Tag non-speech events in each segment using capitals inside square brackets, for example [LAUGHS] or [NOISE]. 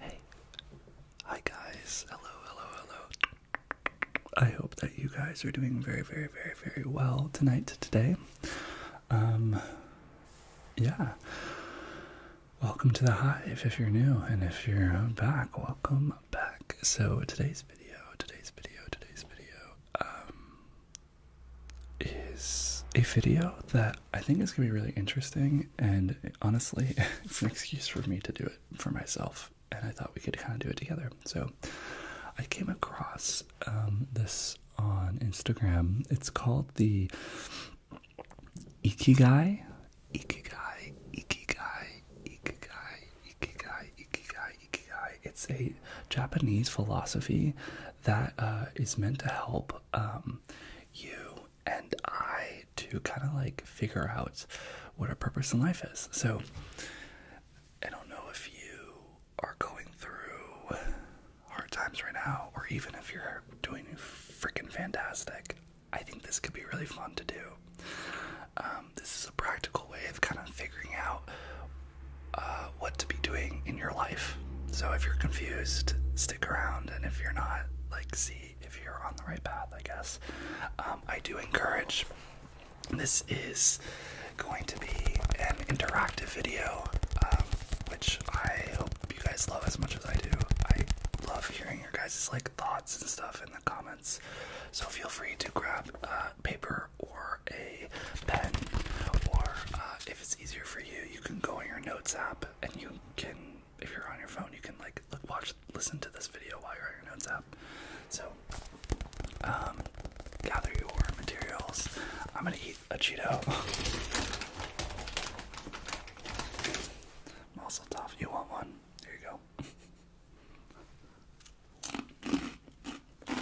Hey. Hi guys. Hello, hello, hello. I hope that you guys are doing very, very, very, very well tonight, today. Um, yeah. Welcome to the Hive if you're new, and if you're back, welcome back. So today's video, today's video, today's video, um, is a video that I think is gonna be really interesting and honestly, [LAUGHS] it's an excuse for me to do it for myself. And I thought we could kind of do it together. So I came across um, this on Instagram. It's called the Ikigai. Ikigai, Ikigai, Ikigai, Ikigai, Ikigai, Ikigai. It's a Japanese philosophy that uh, is meant to help um, you and I to kind of like figure out what our purpose in life is. So I don't know if you are going through hard times right now, or even if you're doing freaking fantastic. I think this could be really fun to do. Um, this is a practical way of kind of figuring out uh, what to be doing in your life so if you're confused, stick around, and if you're not, like, see if you're on the right path, I guess. Um, I do encourage this is going to be an interactive video, um, which I hope you guys love as much as I do. I love hearing your guys' like thoughts and stuff in the comments. So feel free to grab uh, paper or a pen, or uh, if it's easier for you, you can go on your notes app and you can if you're on your phone you can like watch listen to this video while you're on your notes app so um gather your materials i'm gonna eat a cheeto [LAUGHS] muscle tough you want one here you go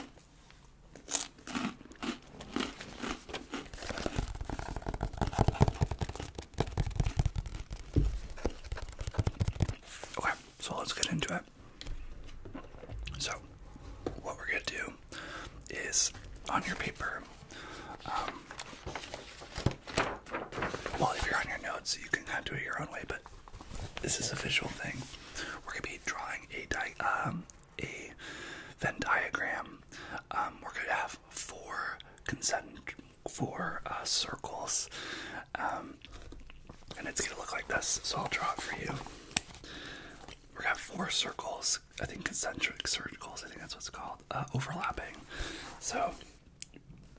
[LAUGHS] Okay, so let's get into it. So, what we're going to do is on your paper, um, well, if you're on your notes, you can kind of do it your own way, but this is a visual thing. We're going to be drawing a di um, a Venn diagram, um, we're going to have four concentric four uh, circles, um, and it's going to look like this. So I'll draw it for you. We're gonna have four circles. I think concentric circles. I think that's what's called uh, overlapping. So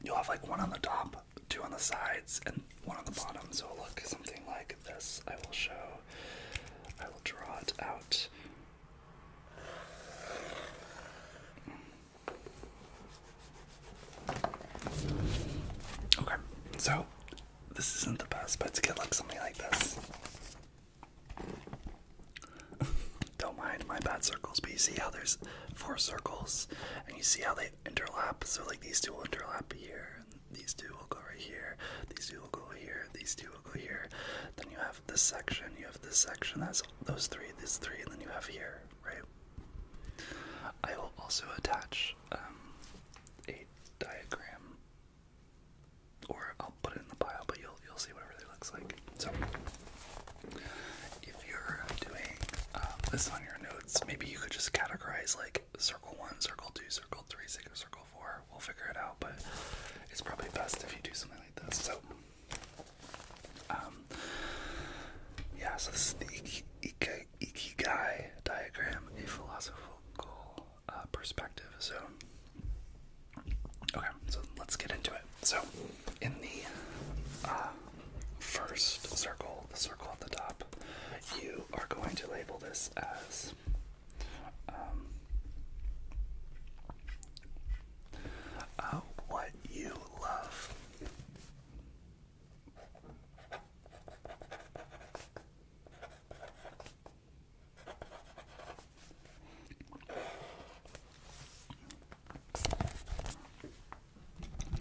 you'll have like one on the top, two on the sides, and one on the bottom. So it'll look something like this. I will show. I will draw it out Okay, so this isn't the best, but to get like something like this. [LAUGHS] Don't mind my bad circles, but you see how there's four circles, and you see how they interlap. So like these two will interlap here, these two will go right here, these two will go here, these two will go here. Then you have this section, you have this section, that's those three, This three, and then you have here, right? I will also attach um, a diagram, or I'll put it in the pile, but you'll you'll see what it really looks like. So, if you're doing um, this on your notes, maybe you could just categorize like circle one, circle two, circle three, circle four, We'll figure it out, but it's probably best if you do something like this. So, um, yeah, so this is the ik ik Ikigai diagram, a philosophical uh, perspective. So, okay, so let's get into it. So, in the uh, first circle, the circle at the top, you are going to label this as um, uh, what you love.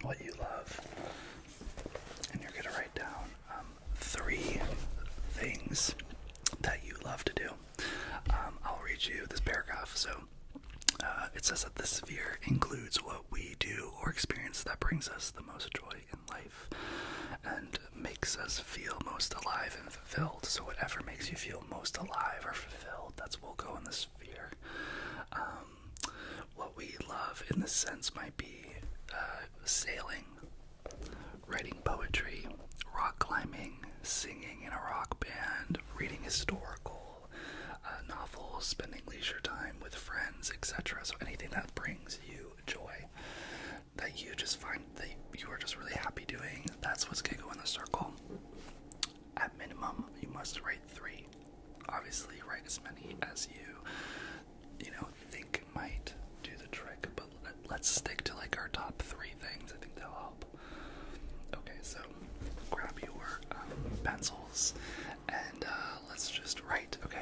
What you love, and you're going to write down um, three things that you love to do. Um, I'll read you this paragraph. So uh, it says that the sphere includes what we do or experience that brings us the most joy in life and makes us feel most alive and fulfilled. So whatever makes you feel most alive or fulfilled, that's what will go in the sphere. Um, what we love in this sense might be uh, sailing writing poetry, rock climbing, singing in a rock band, reading historical uh, novels, spending leisure time with friends, etc. So anything that brings you joy, that you just find that you are just really happy doing, that's what's gonna go in the circle. At minimum, you must write three. Obviously, write as many as you, you know, think might do the trick, but let's stick to like our top three things. I think that'll help. Okay, so grab your um, pencils and uh, let's just write, okay?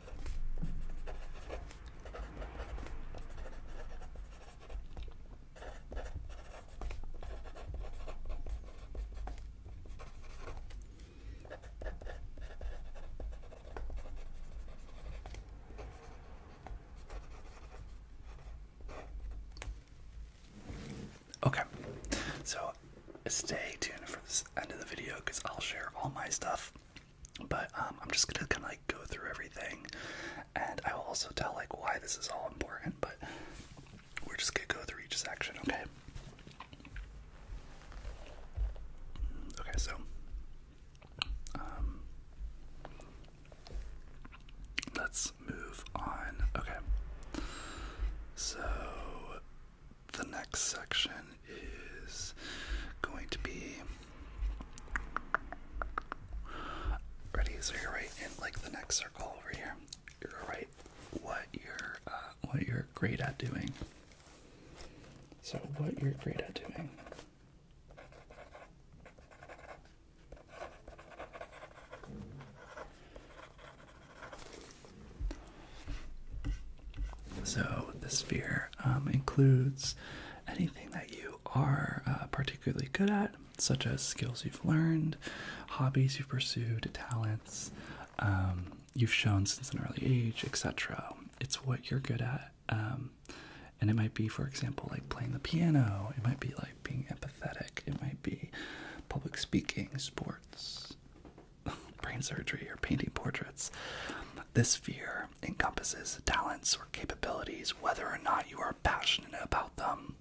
Okay, so stay tuned for this end of the video because I'll share all my stuff but um, I'm just gonna kind of like go through everything, and I will also tell like why this is all important. But we're just gonna go through each section, okay? Okay, so um, let's move on. Okay, so the next section is going to be ready. So you're right in like the next circle over here. You're right. What you're uh, what you're great at doing. So what you're great at doing. So, the sphere um, includes anything that you are uh, particularly good at, such as skills you've learned, hobbies you've pursued, talents um, you've shown since an early age, etc. It's what you're good at. Um, and it might be, for example, like playing the piano, it might be like being empathetic, it might be public speaking, sports, [LAUGHS] brain surgery or painting portraits. This fear encompasses talents or capabilities, whether or not you are passionate about them,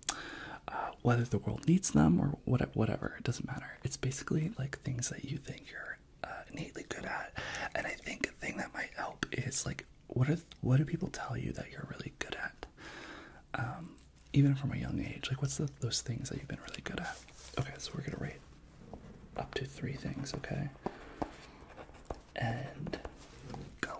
uh, whether the world needs them, or whatever. It doesn't matter. It's basically like things that you think you're uh, innately good at. And I think a thing that might help is like, what, are, what do people tell you that you're really good at? Um, even from a young age, like what's the, those things that you've been really good at? Okay, so we're gonna rate up to three things, okay? And go.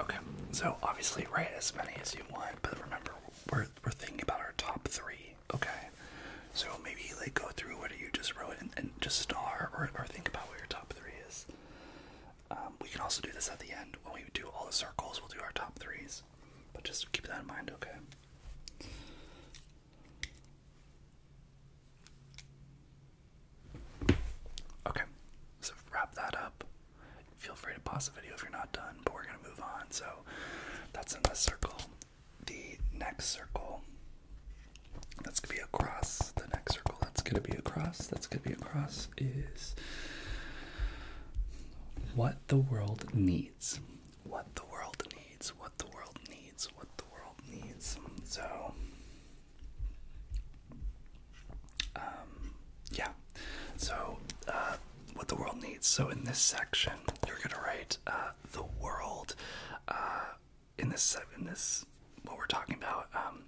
Okay, so obviously write as many as you want, but remember we're we're thinking about our top three. Okay, so maybe like go through what you just wrote and, just star or or think about what your top three is. Um, we can also do this at the end when we do all the circles. We'll do our top threes. But just keep that in mind, okay? Okay, so wrap that up. Feel free to pause the video if you're not done, but we're gonna move on. So that's in this circle. The next circle that's gonna be across. The next circle that's gonna be across. That's gonna be across is what the world needs. What the world needs. What the world needs. What the world needs. So, um, yeah. So, uh, what the world needs. So, in this section, you're gonna write uh, the world. Uh, in this, in this, what we're talking about. Um,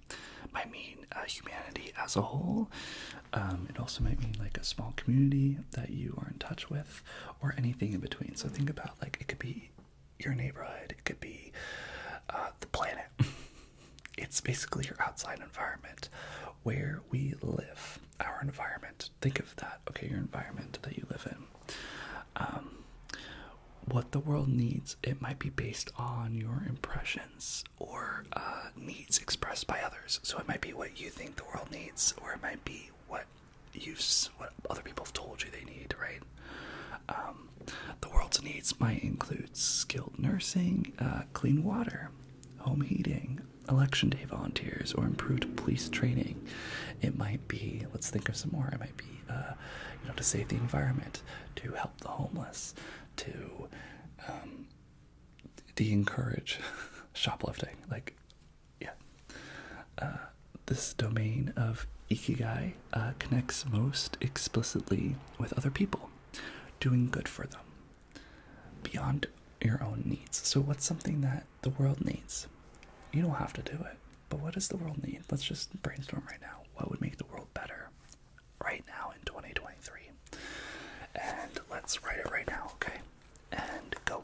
I mean humanity as a whole. Um, it also might mean like a small community that you are in touch with, or anything in between. So think about like it could be your neighborhood, it could be uh, the planet. [LAUGHS] it's basically your outside environment, where we live. Our environment. Think of that. Okay, your environment that you live in. Um, what the world needs. It might be based on your impressions or uh, needs expressed by others. So it might be what you think the world needs, or it might be what you what other people have told you they need, right? Um, the world's needs might include skilled nursing, uh, clean water, home heating, election day volunteers, or improved police training. It might be, let's think of some more. It might be, uh, you know, to save the environment, to help the homeless, to um, de encourage [LAUGHS] shoplifting. Like, yeah. Uh, this domain of ikigai uh, connects most explicitly with other people, doing good for them beyond your own needs. So, what's something that the world needs? You don't have to do it, but what does the world need? Let's just brainstorm right now. What would make the world better? right now in 2023. And let's write it right now, okay? And go.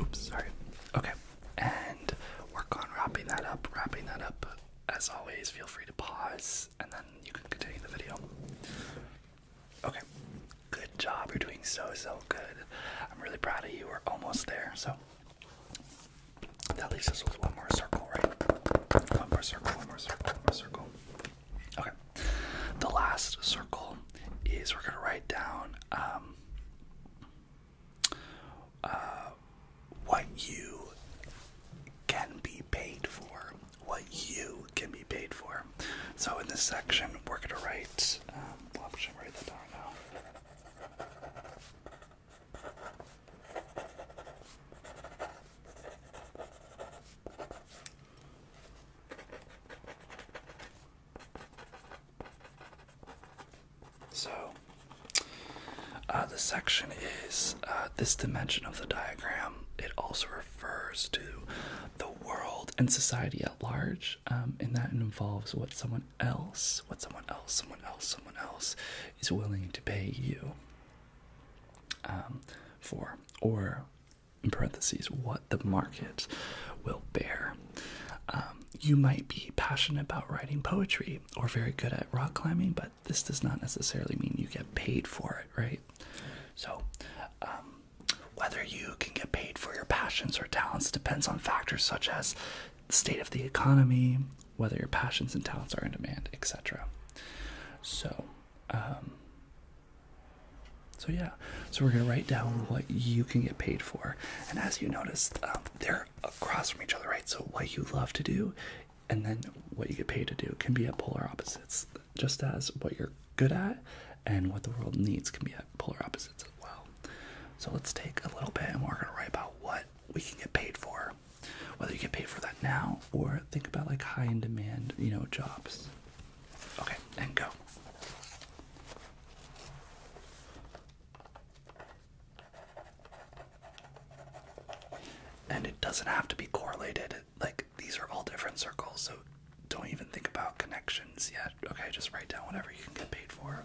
Oops, sorry. Okay, and work on wrapping that up, wrapping that up as always, feel free to pause and then you can continue the video. Okay, good job. You're doing so, so good. I'm really proud of you. We're almost there. So that leaves us with one more circle, right? One more circle, one more circle, one more circle. Okay, the last circle is we're going to write down. Um, uh, what you can be paid for. What you can be paid for. So in this section, we're going to write. Um, so, uh, the section is uh, this dimension of the diagram. It also refers to the world and society at large, um, and that involves what someone else, what someone else, someone else, someone else is willing to pay you um, for, or in parentheses, what the market will bear. Um, you might be passionate about writing poetry or very good at rock climbing, but this does not necessarily mean you get paid for it, right? So, um, whether you can get paid for your passions or talents depends on factors such as the state of the economy, whether your passions and talents are in demand, etc. So, um, so yeah, so we're gonna write down what you can get paid for, and as you noticed, um, there across from each other, right? So what you love to do and then what you get paid to do can be at polar opposites, just as what you're good at and what the world needs can be at polar opposites as well. So let's take a little bit and we're gonna write about what we can get paid for. Whether you get paid for that now or think about like high in demand, you know, jobs. Okay, and go. And it doesn't have to be correlated. Like these are all different circles, so don't even think about connections yet. Okay, just write down whatever you can get paid for.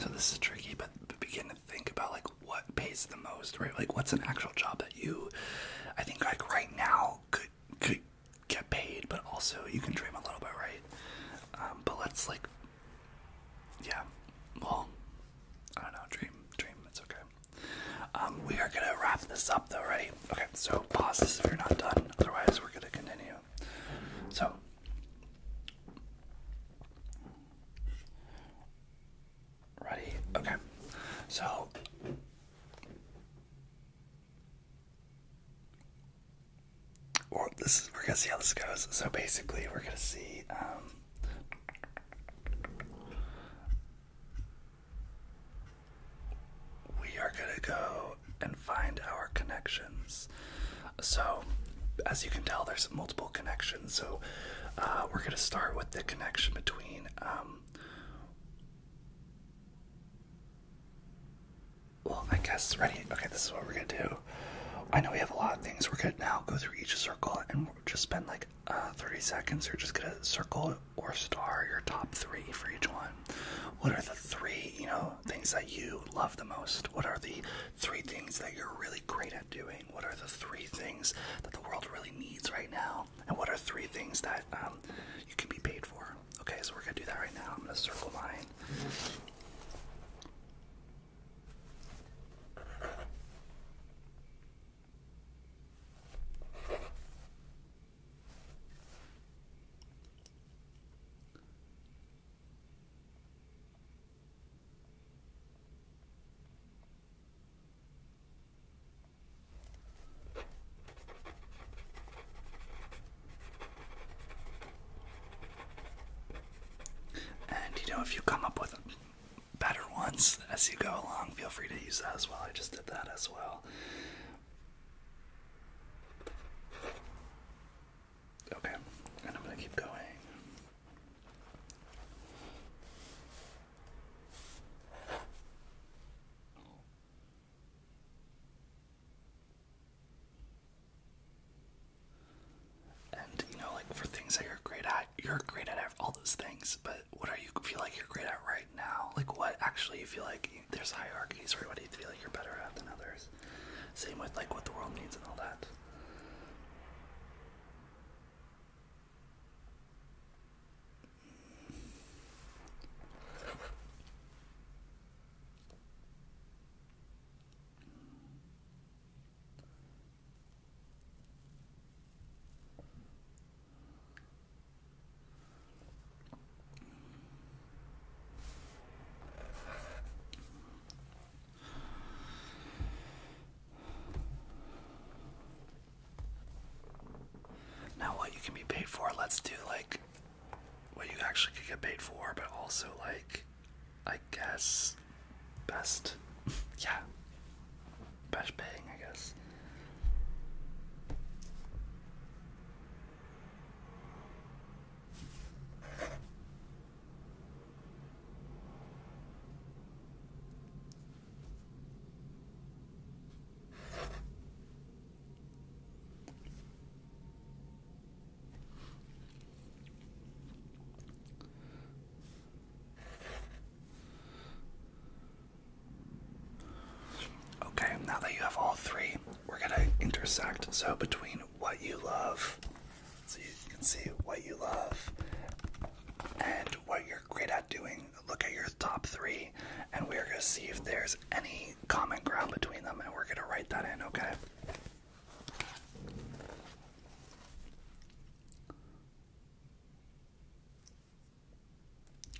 So this is tricky, but begin to think about like what pays the most, right? Like what's an actual job that you, I think like right now could could get paid, but also you can dream a little bit, right? Um, but let's like, yeah, well, I don't know, dream, dream, it's okay. Um, we are gonna wrap this up though, right? Okay, so pause this if you're not done. Otherwise, we're gonna continue. So ready? Okay. So or this is, we're gonna see how this goes. So basically, we're gonna see. Um, we are gonna go and find our connections. So, as you can tell, there's multiple connections. So, uh, we're going to start with the connection between um, well, I guess ready. Okay, this is what we're gonna do. I know we have a lot of things. We're gonna now go through each circle and just spend like uh, 30 seconds. You're just gonna circle or star your top three for each one. What are the three, you know, things that you love the most? What are the three things that you're really great at doing. What are the three things that the world really needs right now? And what are three things that um, you can be paid for? Okay, so we're gonna do that right now. I'm gonna circle mine. And you know, if you come up with better ones as you go along, feel free to use that as well. I just did that as well. Okay, and I'm going to keep going. And you know, like for things that you're great at, you're great at all those things. But what are you feel like you're great at right now? Like what actually you feel like there's hierarchies, right? What do you feel like you're better at than others? Same with like what the world needs and all that. Now, what you can be paid for, let's do like what you actually could get paid for, but also like, I guess, best. [LAUGHS] yeah. Best paying, I guess. Okay, now that you have all three, we're gonna intersect. So between what you love, so you can see what you love and what you're great at doing. Look at your top three, and we're going to see if there's any common ground between them, and we're going to write that in, okay?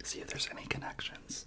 See if there's any connections.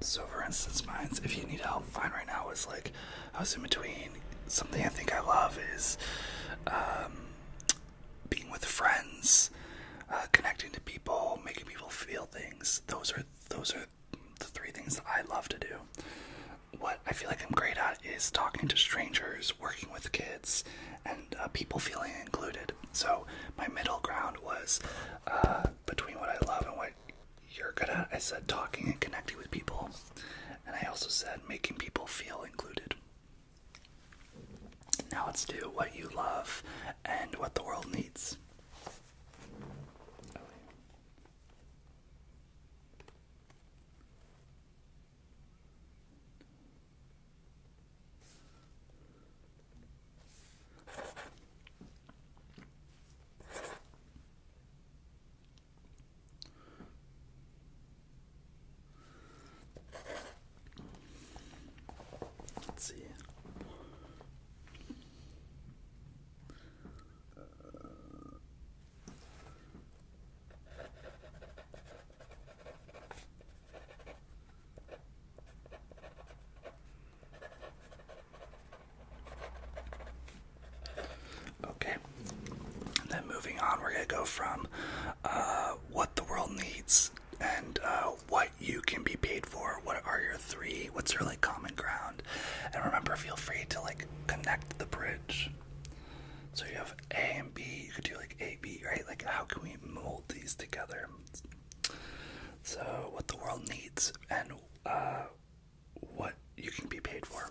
So, for instance, mine's if you need help, find right now is like I was in between. Something I think I love is um, being with friends, uh, connecting to people, making people feel things. Those are those are the three things that I love to do. What I feel like I'm great at is talking to strangers working with kids, and uh, people feeling included. So my middle ground was uh, between what I love and what you're good at. I said talking and connecting with people, and I also said making people feel included. Now let's do what you love and what the world needs. Let's see. Uh, Okay, and then moving on, we're gonna go from uh, what the world needs and uh, what you can be paid for. What are your three? What's your like common ground? And remember, feel free to like connect the bridge. So you have A and B, you could do like A, B, right? Like, how can we mold these together? So, what the world needs and uh, what you can be paid for.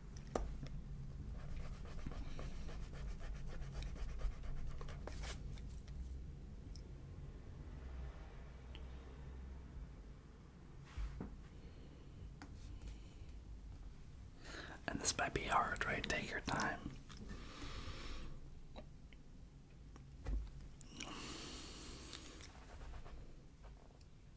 And this might be hard, right? Take your time.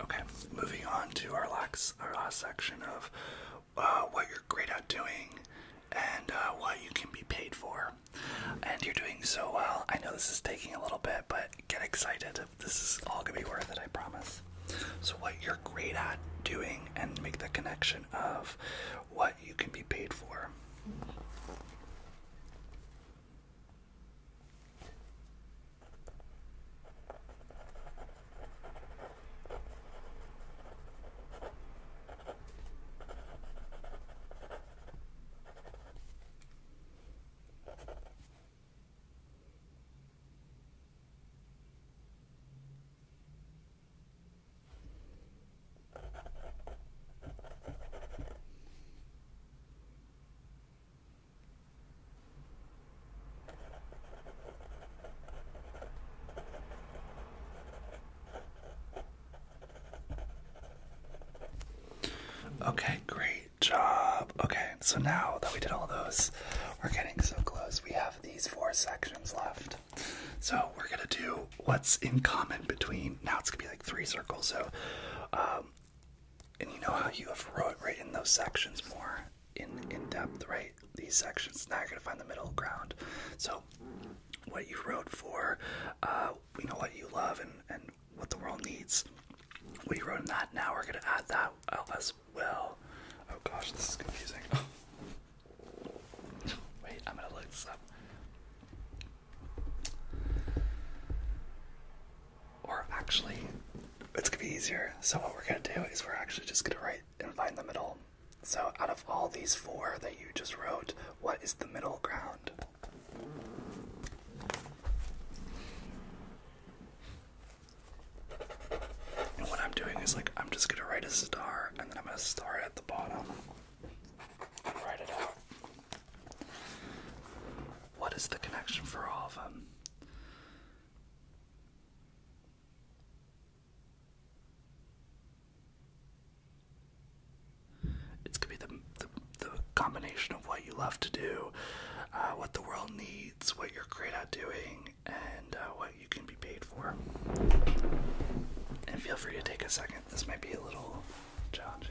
Okay, moving on to our last, section of uh, what you're great at doing and uh, what you can be paid for. And you're doing so well. I know this is taking a little bit, but get excited. This is all gonna be worth it, I promise. So, what you're great at doing, and make the connection of what you can be paid for. Okay, great job. Okay, so now that we did all those, we're getting so close. We have these four sections left. So we're gonna do what's in common between now it's gonna be like three circles. So, um, and you know how you have wrote written those sections more in in depth, right? These sections. Now you're gonna find the middle ground. So what you wrote for, we uh, know what you love and and what the world needs. We wrote in that. Now we're gonna add that oh, as well. Oh gosh, this is confusing. [LAUGHS] Wait, I'm gonna look this up. Or actually, it's gonna be easier. So what we're gonna do is we're actually just gonna write and find the middle. So out of all these four that you just wrote, what is the middle ground? And what I'm doing is like I'm just gonna write a star and then I'm gonna star at the bottom. Write it out. What is the connection for all of them? It's gonna be the, the, combination of what you love to do, uh, what the world needs, what you're great at doing, and uh, what you can be paid for. And feel free to take a second. This might be a little challenging.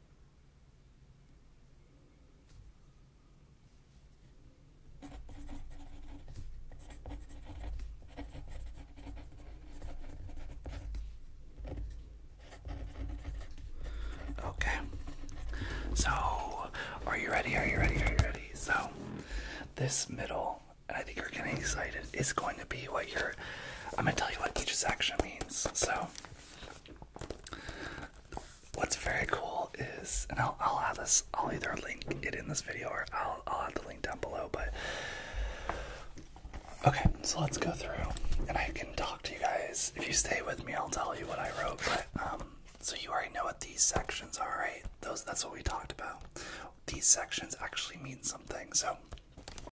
Okay. So, are you ready? Are you ready? Are you ready? So, this middle, and I think you're getting excited, is going to be what you're. I'm gonna tell you what each section means. So, what's very cool is, and I'll, I'll add this. I'll either link it in this video or I'll, I'll add the link down below. But okay, so let's go through, and I can talk to you guys. If you stay with me, I'll tell you what I wrote. But um, so you already know what these sections are, right? Those that's what we talked about. These sections actually mean something. So